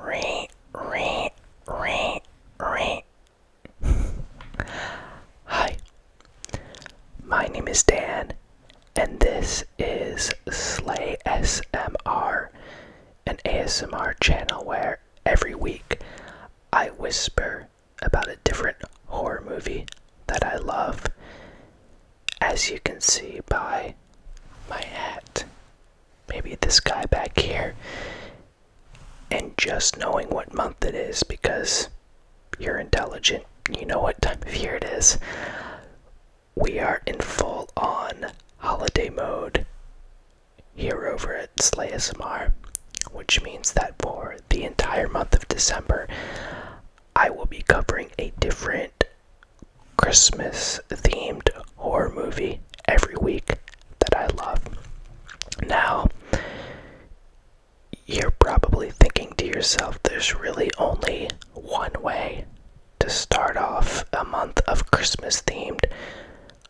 Re, re, re, re. Hi, my name is Dan, and this is Slay SMR, an ASMR channel where every week I whisper about a different horror movie that I love, as you can see by my hat maybe this guy back here, and just knowing what month it is because you're intelligent, you know what time of year it is. We are in full on holiday mode here over at SlaySMR, which means that for the entire month of December, I will be covering a different Christmas themed horror movie every week that I love. Now, you're probably thinking to yourself, there's really only one way to start off a month of Christmas themed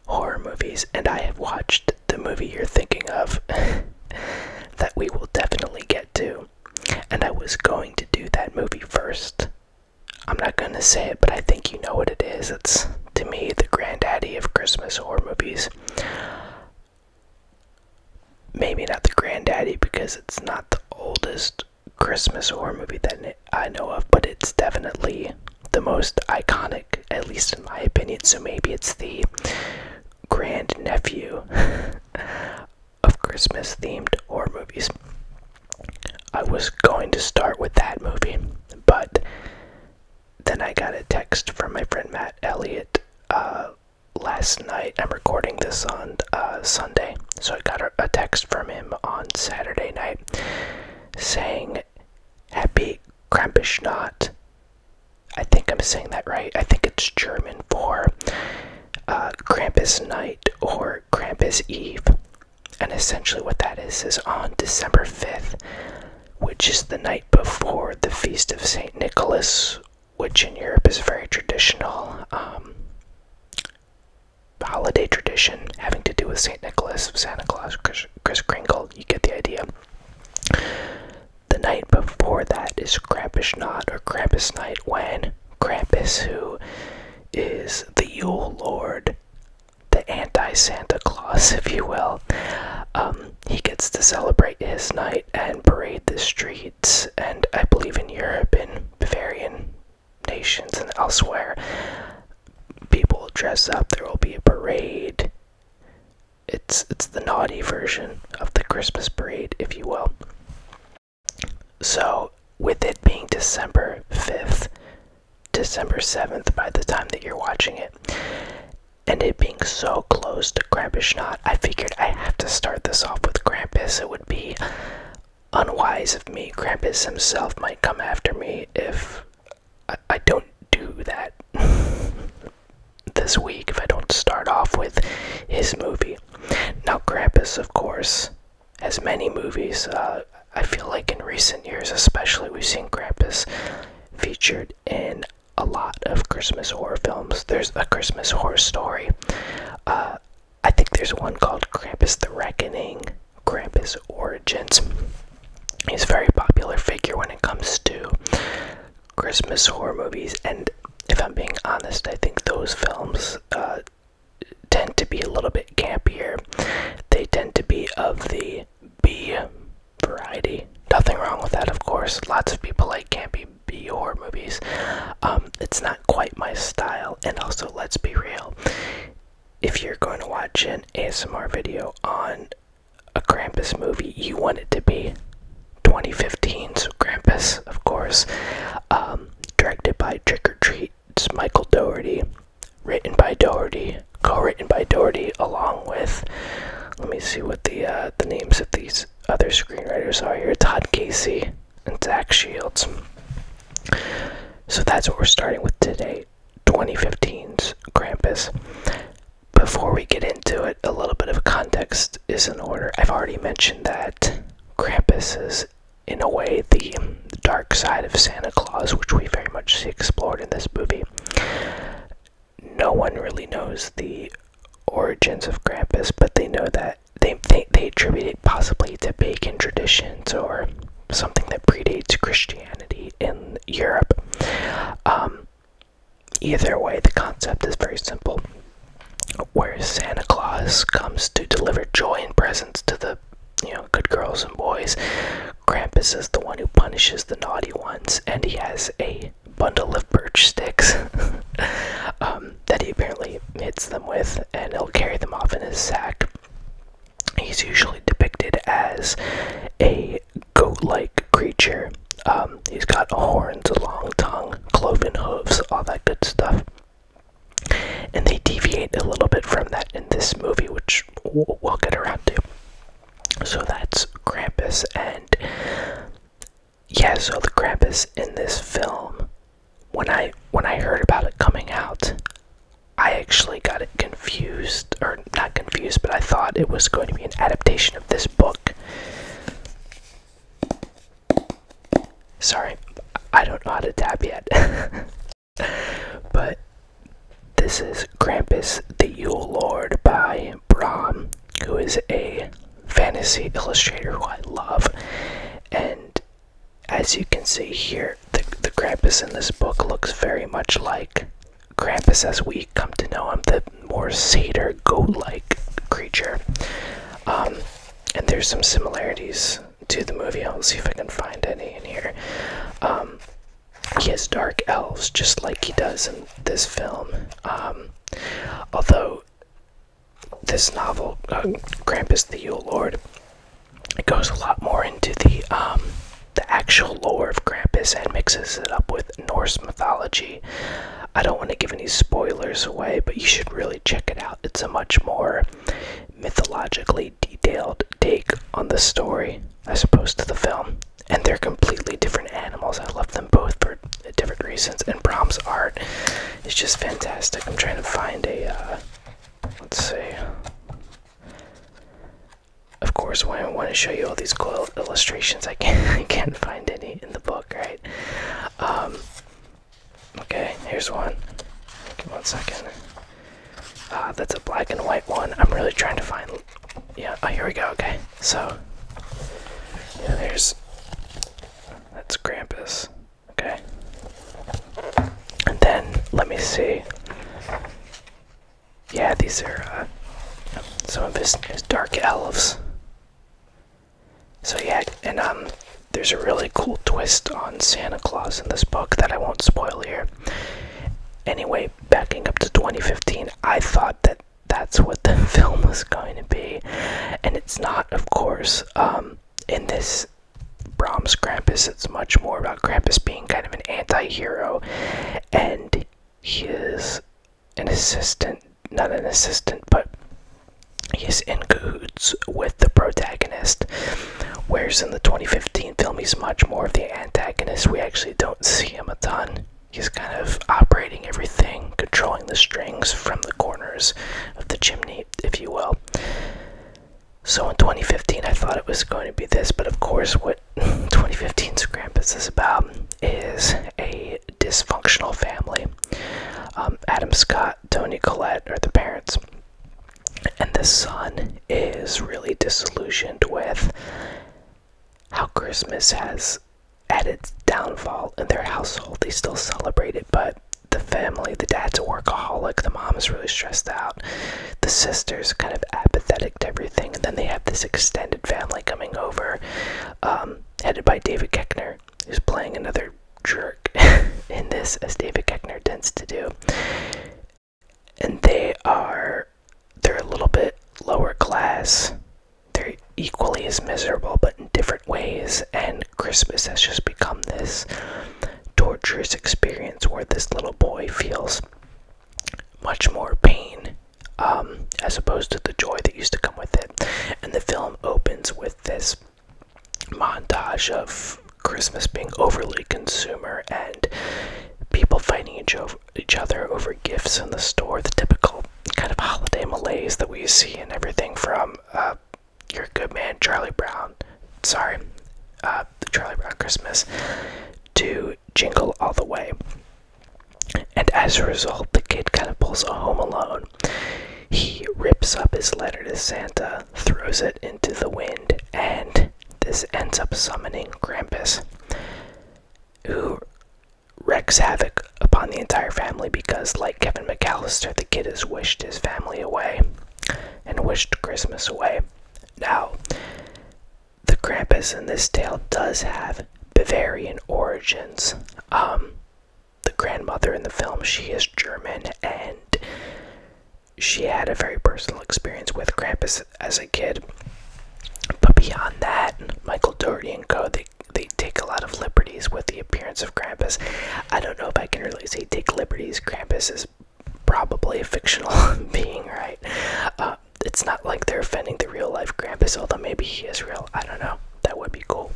horror movies, and I have watched the movie you're thinking of that we will definitely get to. And I was going to do that movie first, I'm not gonna say it, but I think you know what it is. It's to me the granddaddy of Christmas horror movies. Maybe not the granddaddy because it's not the oldest Christmas horror movie that I know of, but it's definitely the most iconic, at least in my opinion. So maybe it's the grandnephew of Christmas themed horror movies. I was going to start with that movie, but then I got a text from my friend Matt Elliott uh, last night. I'm recording this on uh, Sunday, so I got a text from him on Saturday night saying, Happy Krampusnacht. I think I'm saying that right. I think it's German for uh, Krampus Night or Krampus Eve. And essentially, what that is is on December 5th, which is the night before the Feast of St. Nicholas, which in Europe is a very traditional um, holiday tradition having to do with St. Nicholas, Santa Claus, Chris, Kringle. You get the idea. The night before that is Krampus Knot or Krampus Night when Krampus, who is the Yule Lord, the anti Santa Claus, if you will. Um, he gets to celebrate his night and parade the streets, and I believe in Europe and Bavarian nations and elsewhere, people dress up. There will be a parade. It's it's the naughty version of the Christmas parade, if you will. So, with it being December 5th, December 7th by the time that you're watching it, and it being so close to Krampus Knot, I figured I have to start this off with Krampus. It would be unwise of me. Krampus himself might come after me if I, I don't do that this week, if I don't start off with his movie. Now, Krampus, of course, as many movies. Uh, I feel like in recent years, especially, we've seen Krampus featured in a lot of Christmas horror films. There's a Christmas horror story. Uh, I think there's one called Krampus the Reckoning, Krampus Origins. He's a very popular figure when it comes to Christmas horror movies, and if I'm being honest, I think those films uh, tend to be a little bit campier. They tend to be of the B variety. Nothing wrong with that, of course. Lots of people like campy B horror movies. Um, it's not quite my style, and also, let's be real. If you're going to watch an ASMR video on a Krampus movie, you want it to be 2015, so Krampus, of course. Um, directed by Trick or Treat, it's Michael Doherty, written by Doherty, co-written by Doherty, along with. Let me see what the uh, the names of these other screenwriters are here: Todd Casey and Zach Shields. So that's what we're starting with today, 2015's Krampus. Before we get into it, a little bit of context is in order. I've already mentioned that Krampus is in a way, the dark side of Santa Claus, which we very much see explored in this movie. No one really knows the origins of Grampus, but they know that they, they, they attribute it possibly to pagan traditions or something that predates Christianity in Europe. Um, either way, the concept is very simple where Santa Claus comes to deliver joy and presents to the you know good girls and boys. Krampus is the one who punishes the naughty ones, and he has a bundle of birch sticks um, that he apparently hits them with, and he'll carry them off in his sack. He's usually depicted as a goat-like creature. Um, he's got horns, a long tongue, cloven hooves, all that good stuff. And they deviate a little bit from that in this movie, which we'll get around to. So that's Krampus, and yeah, so the Krampus in this film, when I when I heard about it coming out, I actually got confused, or not confused, but I thought it was going to be an adaptation of this book. Sorry, I don't know how to tap yet. but this is Krampus the Yule Lord by Bram, who is a fantasy illustrator who I love. And as you can see here, the, the Krampus in this book looks very much like Krampus as we come to know him, the more satyr goat like creature. Um, and there's some similarities to the movie. I'll see if I can find any in here. Um, he has dark elves, just like he does in this film. Um, although this novel, uh, Krampus the Yule Lord, it goes a lot more into the um, the actual lore of Krampus and mixes it up with Norse mythology. I don't want to give any spoilers away, but you should really check it out. It's a much more mythologically detailed take on the story as opposed to the film. And they're completely different animals. I love them both for different reasons. And Brahms' art is just fantastic. I'm trying to find a, uh, let's see. Of course, when I want to show you all these cool illustrations, I can't, find any in the book, right? Um, Okay, here's one. Give one second. Ah, that's a black and white one. I'm really trying to find. Yeah. Oh, here we go. Okay. So, yeah, there's. That's Grampus. Okay. And then let me see. Yeah, these are uh, some of his dark elves. So yeah, and um, there's a really cool twist on Santa Claus in this book that I won't spoil here. Anyway, backing up to 2015, I thought that that's what the film was going to be, and it's not, of course. Um, in this Brahms Krampus, it's much more about Krampus being kind of an anti-hero, and he is an assistant not an assistant, but he's in cahoots with the protagonist. Whereas in the 2015 film, he's much more of the antagonist. We actually don't see him a ton. He's kind of operating everything, controlling the strings from the corners of the chimney, if you will. So in 2015, I thought it was going to be this, but of course, what 2015 Krampus is about is a dysfunctional family. Um, Adam Scott, Tony Collette are the parents. And the son is really disillusioned with how Christmas has at its downfall in their household. They still celebrate it, but the family, the dad's a workaholic, the mom is really stressed out, the sister's kind of apathetic to everything, and then they have this extended family coming over, um, headed by David Keckner, who's playing another jerk in this, as David Keckner tends to do. And they are, they're a little bit lower class. They're equally as miserable, but in different ways. And Christmas has just become this torturous experience where this little boy feels much more pain um, as opposed to the joy that used to come with it. And the film opens with this montage of Christmas being overly consumer and people fighting each, other over gifts in the store, the typical kind of holiday malaise that we see in everything from uh, your good man Charlie Brown, sorry, uh, Charlie Brown Christmas, to Jingle All the Way. And as a result, the kid kind of pulls a Home Alone he rips up his letter to Santa, throws it into the wind, and this ends up summoning Krampus, who wreaks havoc upon the entire family because, like Kevin McAllister, the kid has wished his family away and wished Christmas away. Now, the Krampus in this tale does have Bavarian origins. Um, the grandmother in the film, she is German and she had a very personal experience with Krampus as a kid. But beyond that, Michael Doherty and Co. They they take a lot of liberties with the appearance of Krampus. I don't know if I can really say take liberties. Krampus is probably a fictional being, right? Uh, it's not like they're offending the real life Krampus, although maybe he is real. I don't know. That would be cool.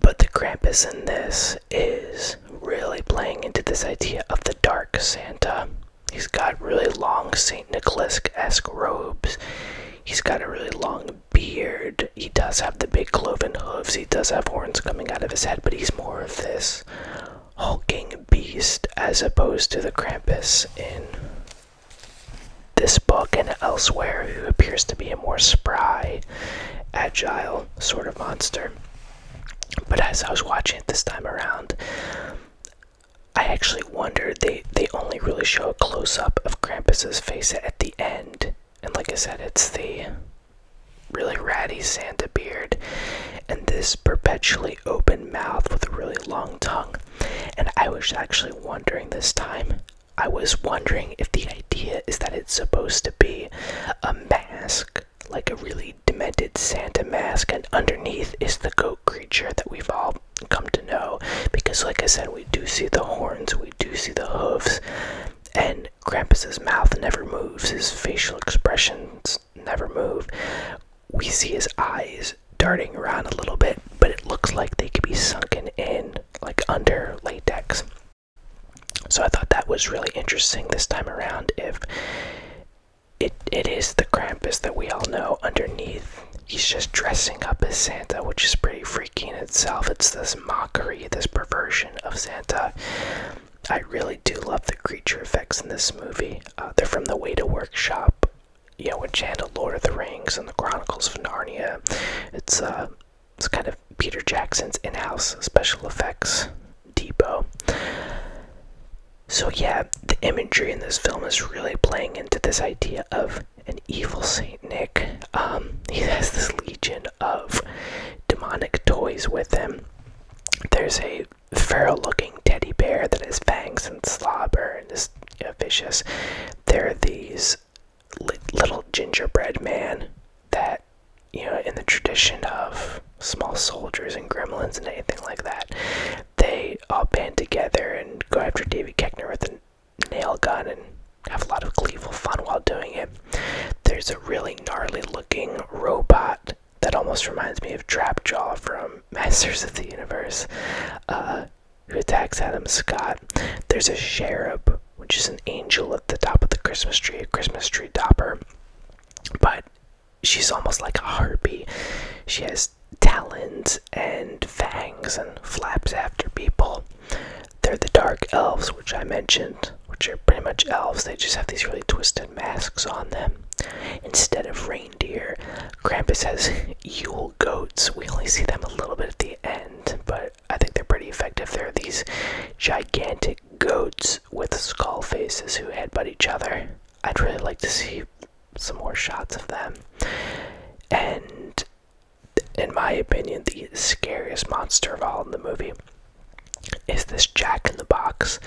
But the Krampus in this is really playing into this idea of the dark Santa. He's got really long St. Nicholas esque robes. He's got a really long beard. He does have the big cloven hooves. He does have horns coming out of his head, but he's more of this hulking beast as opposed to the Krampus in this book and elsewhere, who appears to be a more spry, agile sort of monster. But as I was watching it this time around, I actually wondered they they only really show a close up of Krampus's face at the end, and like I said, it's the really ratty Santa beard and this perpetually open mouth with a really long tongue. And I was actually wondering this time I was wondering if the idea is that it's supposed to be a mask, like a really demented Santa mask, and underneath is the goat creature that we've all come to know. Because, like I said, we do see the horns, we do see the hooves, and Krampus's mouth never moves, his facial expressions never move. We see his eyes darting around a little bit, but it looks like they could be sunken in like under latex. So I thought that was really interesting this time around. If it it is the Krampus that we all know underneath, he's just dressing up as Santa, which is pretty freaky in itself. It's this mockery, this perversion of Santa. I really do love the creature effects in this movie. Uh, they're from the Weta Workshop you know, which handled Lord of the Rings and the Chronicles of Narnia. Uh, it's kind of Peter Jackson's in-house special effects depot. So yeah, the imagery in this film is really playing into this idea of an evil Saint Nick. Um, he has this legion of demonic toys with him. There's a feral-looking teddy bear that has fangs and slobber and is vicious. There are these little gingerbread man that you know in the tradition of small soldiers and gremlins and anything like that they all band together and go after david keckner with a nail gun and have a lot of gleeful fun while doing it there's a really gnarly looking robot that almost reminds me of Trap Jaw from masters of the universe uh, who attacks Adam Scott. There's a cherub, which is an angel at the top of the Christmas tree, a Christmas tree topper. But she's almost like a harpy. She has talons and fangs and flaps after people. They're the dark elves, which I mentioned, which are pretty much elves. They just have these really twisted masks on them. Instead of reindeer, Krampus has Yule goats. We only see them a little bit at the end, but I think they're pretty effective. They're these gigantic goats with skull faces who headbutt each other. I'd really like to see some more shots of them. And in my opinion, the scariest monster of all in the movie is this jack in the box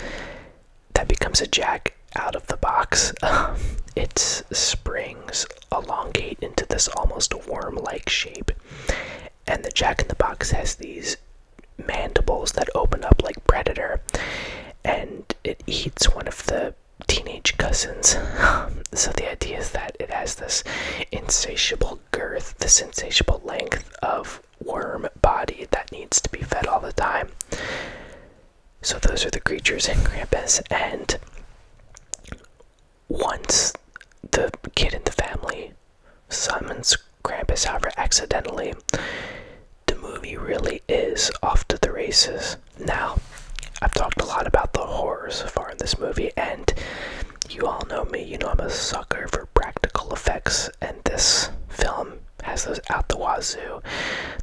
that becomes a jack out of the box. It Springs elongate into this almost worm like shape. And the Jack in the Box has these mandibles that open up like Predator, and it eats one of the teenage cousins. so the idea is that it has this insatiable girth, the insatiable length of worm body that needs to be fed all the time. So those are the creatures in Krampus, and once the kid and the family summons Krampus, however, accidentally, the movie really is off to the races. Now, I've talked a lot about the horrors so far in this movie, and you all know me, you know I'm a sucker for practical effects, and this film has those out the wazoo.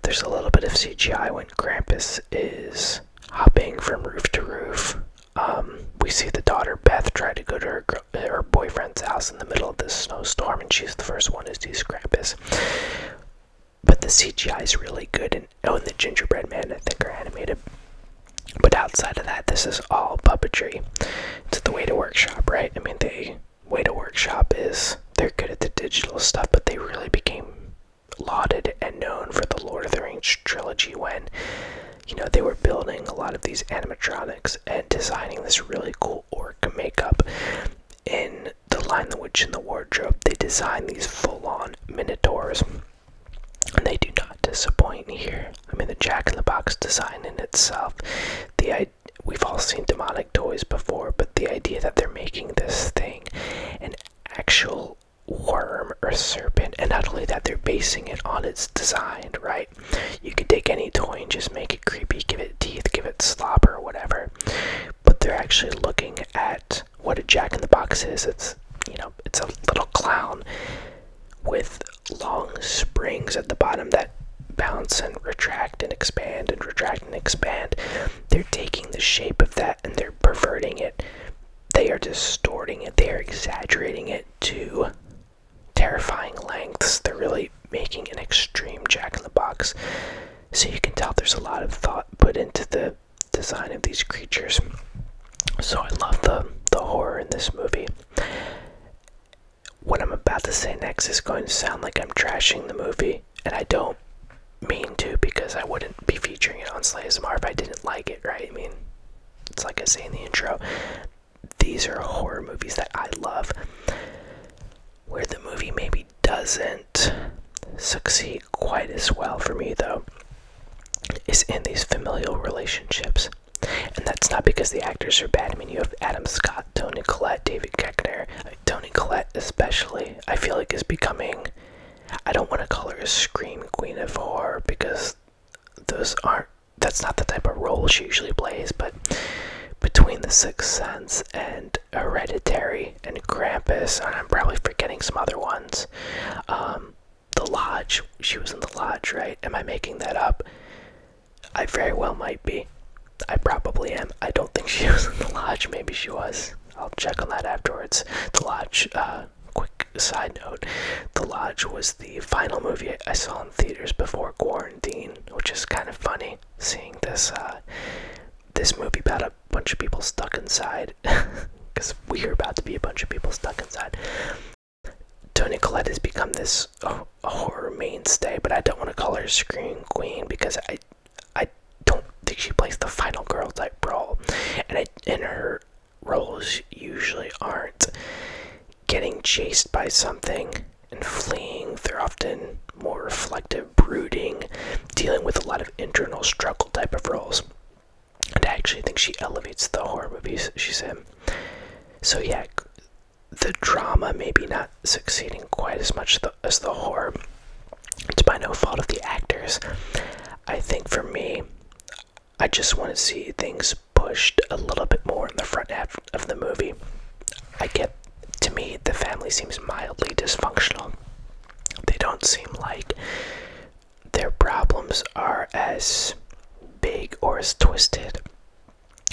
There's a little bit of CGI when Krampus is hopping from roof to roof. Um, we see the daughter Beth try to go to her, uh, her boyfriend's house in the middle of this snowstorm, and she's the first one to sees Krampus. But the CGI is really good, and oh, and the gingerbread man, I think, are animated. But outside of that, this is all puppetry. It's the way to workshop, right? I mean, they way to workshop is they're good at the digital stuff, but they really became lauded and known for the Lord of the Rings trilogy when, you know, they were building a lot of these animatronics and designing this really cool orc makeup. In The line, the Witch, in the Wardrobe, they designed these full on minotaurs. And they do not disappoint here. I mean, the Jack in the Box design in itself, the we've all seen demonic toys before, but the idea that they're making this thing an actual worm or serpent, and not only that, they're basing it on its design, right? You could take any toy and just make it creepy, give it teeth, give it slobber, or whatever. But they're actually looking at what a jack in the box is. It's, you know, it's a little clown with long springs at the bottom that bounce and retract and expand and retract and expand. They're taking the shape of that and they're perverting it. They are distorting it. They are exaggerating it to terrifying lengths. They're really making an extreme jack in the box. So you can tell there's a lot of thought put into the design of these creatures. So I love the the horror in this movie. What I'm about to say next is going to sound like I'm trashing the movie, and I don't mean to because I wouldn't be featuring it on Slayasmar if I didn't like it, right? I mean, it's like I say in the intro, these are horror movies that I love. Where the movie maybe doesn't succeed quite as well for me, though, is in these familial relationships. And that's not because the actors are bad. I mean, you have Adam Scott, Tony Collette, David Keckner. Uh, Tony Collette, especially, I feel like is becoming I don't want to call her a scream queen of horror because those aren't that's not the type of role she usually plays, but between The Sixth Sense and Hereditary and Krampus, I'm probably forgetting some other ones. Um, the Lodge, she was in The Lodge, right? Am I making that up? I very well might be. I probably am. I don't think she was in The Lodge, maybe she was. I'll check on that afterwards. The Lodge, uh, quick side note The Lodge was the final movie I saw in theaters before quarantine, which is kind of funny seeing this, uh, this movie about a bunch of people stuck inside. Because we are about to be a bunch of people stuck inside. Tony Collette has become this oh, horror mainstay, but I don't want to call her Screen Queen because I I don't think she plays the final girl type role, and I, in her roles usually aren't getting chased by something and fleeing. They're often more reflective, brooding, dealing with a lot of internal struggle type of roles. And I actually think she elevates the horror movies she's in. So yeah, the drama maybe not succeeding quite as much the, as the horror. It's by no fault of the actors. I think for me, I just want to see things pushed a little bit more in the front half of the movie. I get, to me, the family seems mildly dysfunctional. They don't seem like their problems are as big or as twisted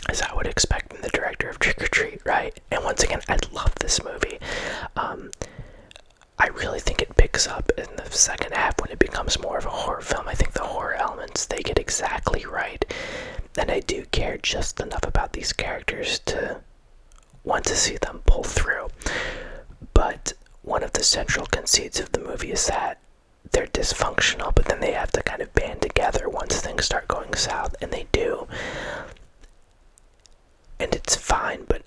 as I would expect from the director of Trick or Treat, right? and once again I love this movie. Um, I really think it picks up in the second half when it becomes more of a horror film. I think the horror elements they get exactly right, and I do care just enough about these characters to want to see them pull through. But one of the central conceits of the movie is that they're dysfunctional, but then they have to kind of band together once things start going south, and they do and it's fine, but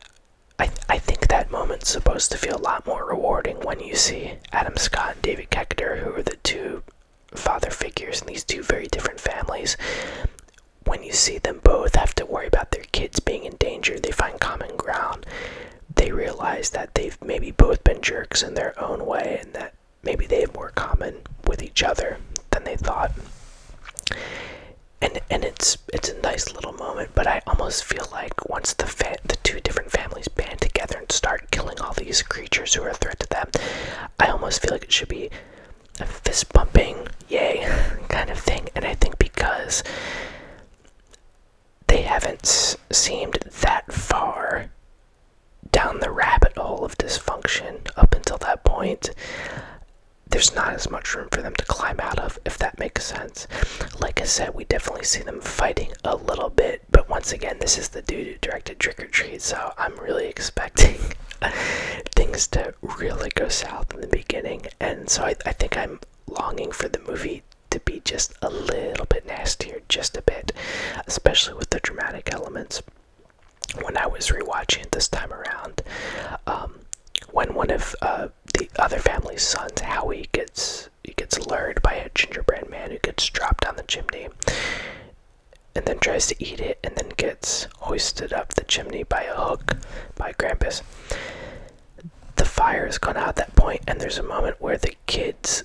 I, I think that moment's supposed to feel a lot more rewarding when you see Adam Scott and David Keckner, who are the two father figures in these two very different families. When you see them both have to worry about their kids being in danger, they find common ground. They realize that they've maybe both been jerks in their own way and that maybe they have more common with each other than they thought and and it's it's a nice little moment, but I almost feel like once the the two different families band together and start killing all these creatures who are a threat to them, I almost feel like it should be a fist bumping, yay, kind of thing. And I think because they haven't seemed that far down the rabbit hole of dysfunction up until that point, there's not as much room for them to climb out of, if that makes sense. Like I said, we definitely see them fighting a little bit, but once again, this is the dude directed Trick or Treat, so I'm really expecting things to really go south in the beginning, and so I think I'm longing for the movie to be just a little bit nastier, just a bit, especially with the dramatic elements when I was rewatching it this time around, um, when one of uh, the other family's sons, Howie, gets he gets lured by a gingerbread man who gets dropped down the chimney, and then tries to eat it, and then gets hoisted up the chimney by a hook by Grampus. The fire has gone out at that point, and there's a moment where the kids,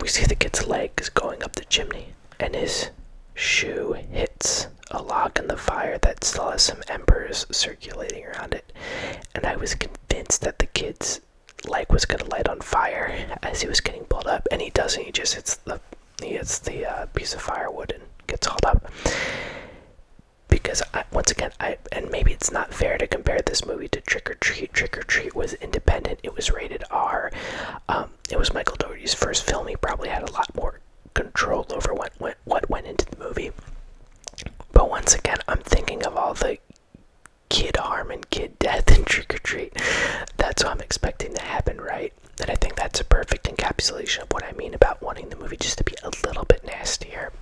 we see the kid's legs going up the chimney, and his shoe hits a log in the fire that still has some embers circulating around it, and I was convinced that the kid's leg was gonna light on fire as he was getting pulled up, and he doesn't. He just hits the he hits the uh, piece of firewood and gets hauled up. Because I, once again, I and maybe it's not fair to compare this movie to Trick or Treat. Trick or Treat was independent; it was rated R. Um, um, it was Michael Dougherty's first film. He probably had a lot more control over what went, into the movie. But once again, I'm thinking of all the kid harm and kid death in trick or treat. That's what I'm expecting to happen, right? And I think that's a perfect encapsulation of what I mean about wanting the movie just to be a little bit nastier.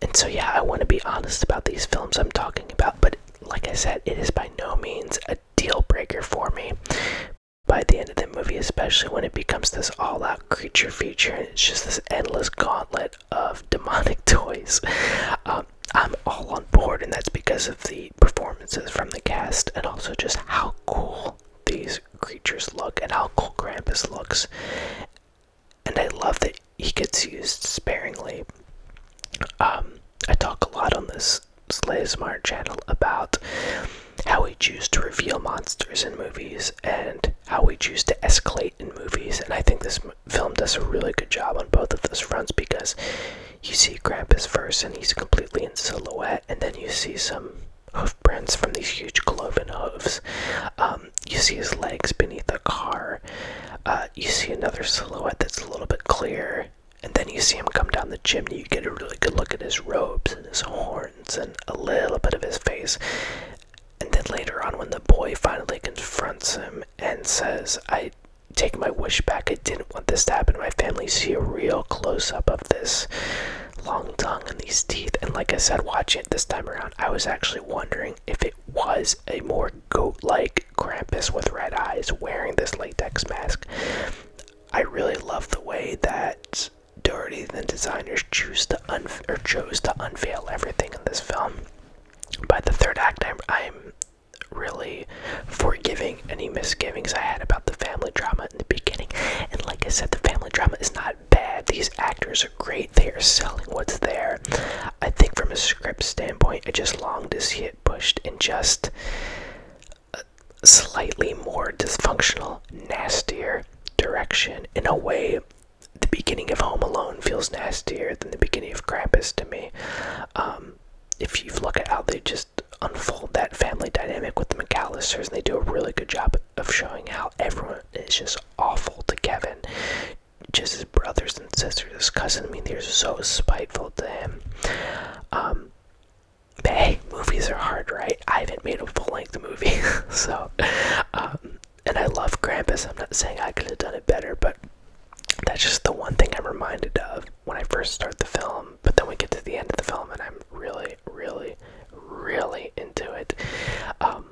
And so, yeah, I want to be honest about these films I'm talking about, but like I said, it is by no means a deal breaker for me by the end of the movie, especially when it becomes this all out creature feature, and it's just this endless gauntlet of demonic toys. Um, I'm all on board, and that's because of the performances from the cast and also just how cool these creatures look and how cool Krampus looks. And I love that he gets used sparingly. Um, I talk a lot on this Slay channel about how we choose to reveal monsters in movies and how we choose to escalate in movies. And I think this film does a really good job on both of those fronts because you see Krampus first and he's completely in silhouette, and then you see some hoofprints from these huge cloven hooves. Um, you see his legs beneath a car. Uh, you see another silhouette that's a little bit clearer and then you see him come down the chimney. You get a really good look at his robes and his horns and a little bit of his face. And then later on, when the boy finally confronts him and says, I take my wish back, I didn't want this to happen my family, see a real close up of this long tongue and these teeth. And like I said, watch it this time around, I was actually wondering if it was a more goat like Krampus with red eyes wearing this latex mask. I really love the way that Doherty and the designers choose to or chose to unveil everything in this film. By the third act, I'm, I'm really forgiving any misgivings I had about the family drama in the beginning. And like I said, the family drama is not bad. These actors are great. They are selling what's there. I think from a script standpoint, I just long to see it pushed and just slightly more dysfunctional, nastier direction. In a way, the beginning of Home Alone feels nastier than the beginning of Krampus to me. Um, if you look at how they just unfold that family dynamic with the McAllisters, and they do a really good job of showing how everyone is just awful to Kevin. Just his brothers and sisters, his cousin. I mean, they're so spiteful to him. Um, hey, movies are hard, right? I haven't made a full-length movie, so. Um, and I love Krampus. I'm not saying I could have done it better, but that's just the one thing I'm reminded of when I first start the film. But then we get to the end of the film, and I'm really, really, really into it. Um,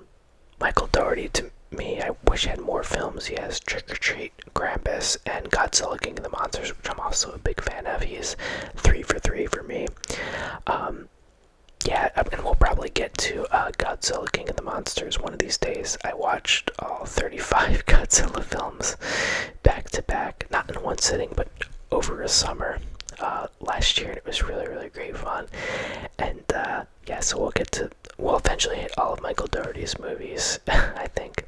Michael Doherty, to me, I wish he had more films. He has Trick or Treat. Grampus and Godzilla King of the Monsters, which I'm also a big fan of. He's three for three for me. Um, yeah, and we'll probably get to uh, Godzilla King of the Monsters one of these days. I watched all 35 Godzilla films back to back, not in one sitting, but over a summer uh, last year, and it was really, really great fun. And uh, yeah, so we'll get to, we'll eventually hit all of Michael Doherty's movies, I think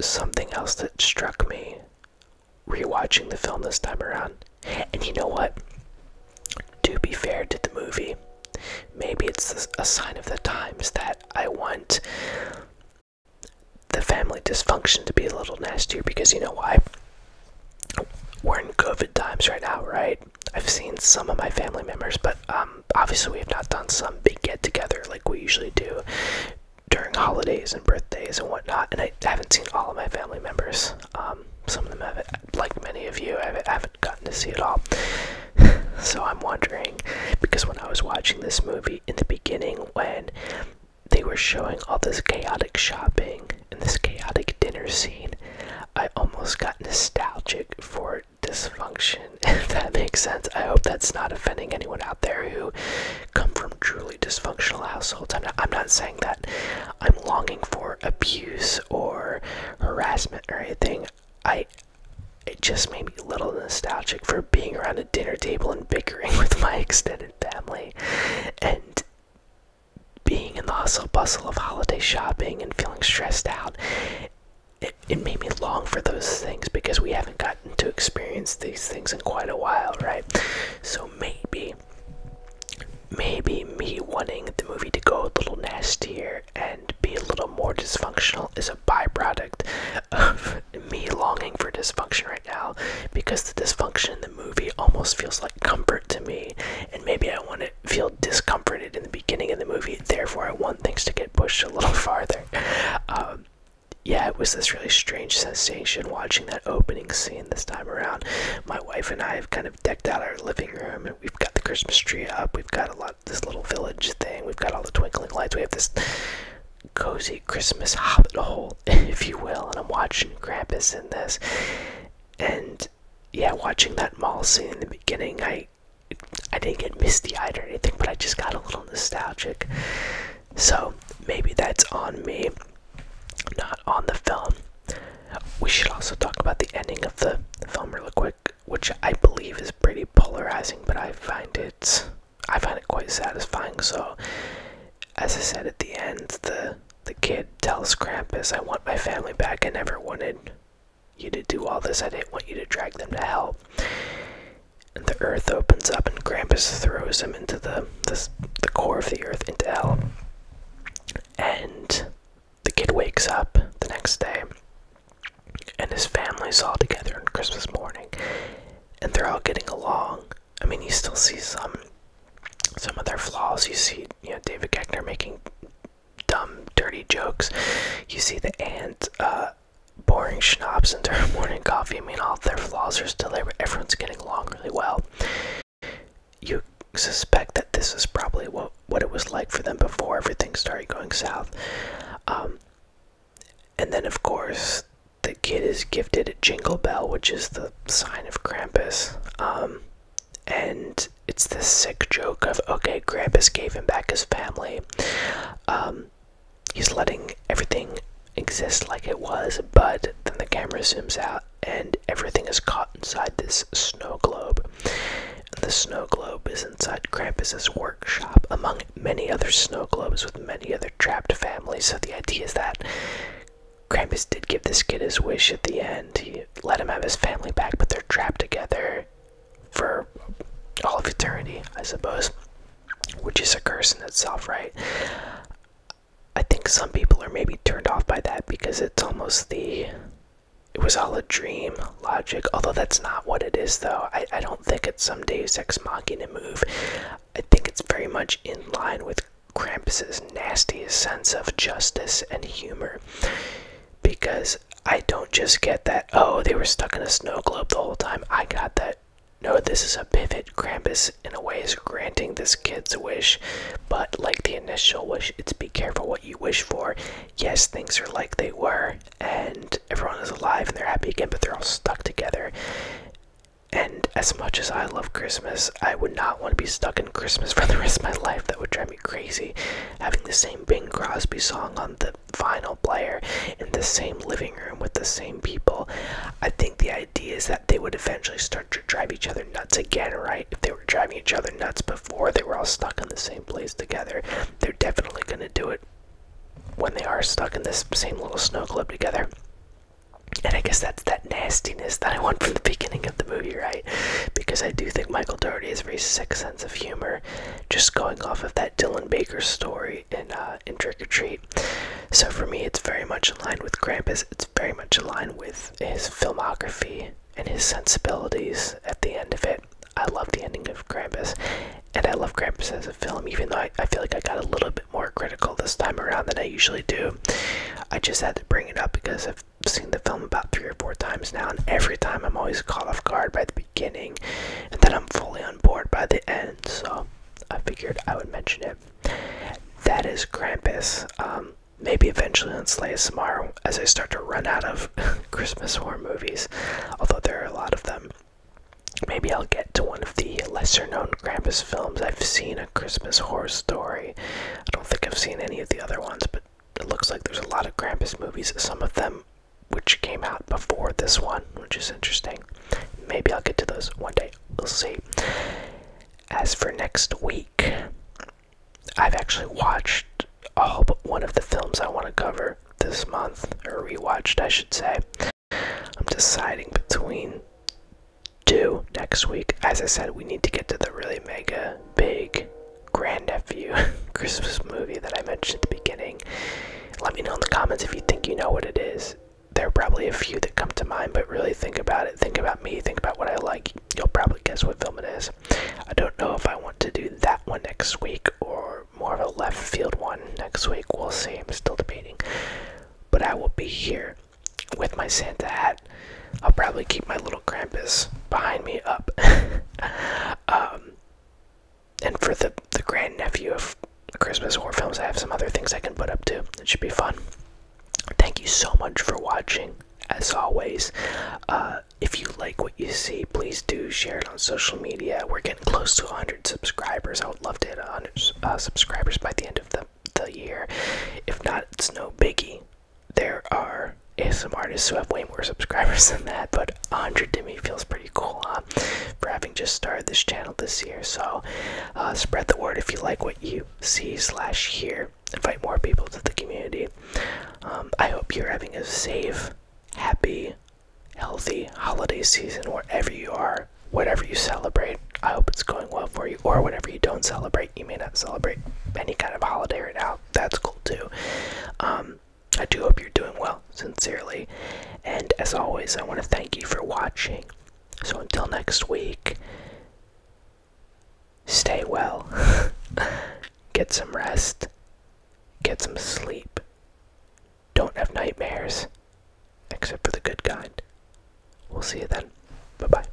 something else that struck me rewatching the film this time around. And you know what? To be fair to the movie, maybe it's a sign of the times that I want the family dysfunction to be a little nastier because you know why? We're in COVID times right now, right? I've seen some of my family members, but um, obviously we have not done some big get together like we usually do during holidays and birthdays and whatnot. And I haven't seen all of my family members. Um, some of them have, like many of you, I haven't gotten to see it all. so I'm wondering, because when I was watching this movie in the beginning, when they were showing all this chaotic shopping and this chaotic dinner scene, I almost got nostalgic for dysfunction that makes sense. I hope that's not offending anyone out there who come from truly dysfunctional households. I'm not, I'm not saying that I'm longing for abuse or harassment or anything. I it just made me a little nostalgic for being around a dinner table and bickering with my extended family and being in the hustle bustle of holiday shopping and feeling stressed out it, made me long for those things because we haven't gotten to experience these things in quite a while, right? So maybe, maybe me wanting the movie to go a little nastier and be a little more dysfunctional is a byproduct of me longing for dysfunction right now because the dysfunction in the movie almost feels like comfort to me. And maybe I want to feel discomforted in the beginning of the movie, therefore, I want things to get pushed a little farther. Um, yeah, it was this really strange sensation watching that opening scene this time around. My wife and I have kind of decked out our living room, and we've got the Christmas tree up. We've got a lot this little village thing. We've got all the twinkling lights. We have this cozy Christmas hobbit hole, if you will. And I'm watching Krampus in this, and yeah, watching that mall scene in the beginning, I I didn't get misty eyed or anything, but I just got a little nostalgic. So maybe that's on me, not on the film. We should also talk about the ending of the film real quick, which I believe is pretty polarizing, but I find it I find it quite satisfying. So as I said at the end, the the kid tells Krampus, I want my family back. I never wanted you to do all this. I didn't want you to drag them to hell and the earth opens up and Krampus throws him into the the, core of the earth into hell. And the kid wakes up the next day and his family's all together on Christmas morning and they're all getting along. I mean you still see some some of their flaws. You see, you know, David Keckner making dumb, dirty jokes. You see the ant. Uh, boring schnapps into their morning coffee. mean, all their flaws are still there, but everyone's getting along really well. You suspect that this is probably what, what it was like for them before everything started going south. Um, and then, of course, the kid is gifted a jingle bell, which is the sign of Krampus. Um, and it's this sick joke of, okay, Krampus gave him back his family. Um, he's letting everything exist like it was, but then the camera zooms out and everything is caught inside this snow globe. And the snow globe is inside Krampus's workshop, among many other snow globes with many other trapped families. So the idea is that Krampus did give this kid his wish at the end. He let him have his family back, but they're trapped together for all of eternity, I suppose, which is a curse in itself, right? I think some people are maybe turned off by that because it's almost the it was all a dream logic, although that's not what it is, though. I, don't think it's some Deus Ex Machina move. I think it's very much in line with Krampus's nastiest sense of justice and humor because I don't just get that, oh, they were stuck in a snow globe the whole time. I got that. No, this is a pivot. Krampus, in a way, is granting this kid's wish, but like the initial wish, it's be careful what you wish for. Yes, things are like they were, and everyone is alive and they're happy again, but they're all stuck together. And as much as I love Christmas, I would not want to be stuck in Christmas for the rest of my life. That would drive me crazy. Having the same Bing Crosby song on the the final player in the same living room with the same people. I think the idea is that they would eventually start to drive each other nuts again, right? If they were driving each other nuts before, they were all stuck in the same place together. They're definitely going to do it when they are stuck in this same little snow club together. And I guess that's that nastiness that I want from the beginning of the movie, right? Because I do think Michael Doherty is very sick sense of humor, just going off of that Dylan Baker story in, uh, in Trick or Treat. So for me, it's very much in line with Krampus, it's very much in line with his filmography and his sensibilities at the end of it. I love the ending of Krampus, and I love Krampus as a film, even though I feel like I got a little bit more critical this time around than I usually do. I just had to bring it up because I've seen the film about three or four times now, and every time I'm always caught off guard by the beginning and then I'm fully on board by the end, so I figured I would mention it. That is Krampus. Um, maybe eventually I'll Slay tomorrow as I start to run out of Christmas horror movies, although there are a lot of them. Maybe I'll get to one of the lesser known Krampus films. I've seen a Christmas horror story. I don't think I've seen any of the other ones, but it looks like there's a lot of Krampus movies. Some of them which came out before this one, which is interesting. Maybe I'll get to those one day. We'll see. As for next week, I've actually watched all but one of the films I want to cover this month, or rewatched, I should say. I'm deciding between two next week. As I said, we need to get to the really mega big Grand nephew Christmas movie that I mentioned at the beginning. Let me know in the comments if you think you know what it is. There are probably a few that come to mind, but really think about it. Think about me. Think about what I like. You'll probably guess what film it is. I don't know if I want to do that one next week or more of a left field one next week. We'll see. I'm still debating. But I will be here with my Santa hat. I'll probably keep my little Krampus behind me up. um, and for the the grandnephew of Christmas horror films, I have some other things I can put up too. It should be fun. Thank you so much for watching. As always, uh, if you like what you see, please do share it on social media. We're getting close to 100 subscribers. I would love to hit 100 uh, subscribers by the end of the, the year. If not, it's no biggie. There are are ASM artists who have way more subscribers than that, but 100 to me feels pretty cool huh? for having just started this channel this year. So uh, spread the word if you like what you see slash hear. Invite more people to the community. Um, I hope you're having a safe, happy, healthy holiday season wherever you are, whatever you celebrate. I hope it's going well for you, or whatever you don't celebrate. You may not celebrate any kind of holiday right now. That's cool too. Um, I do hope you're doing well, sincerely. And as always, I want to thank you for watching. So until next week, stay well, get some rest, get some sleep, don't have nightmares, except for the good kind. We'll see you then. Bye bye.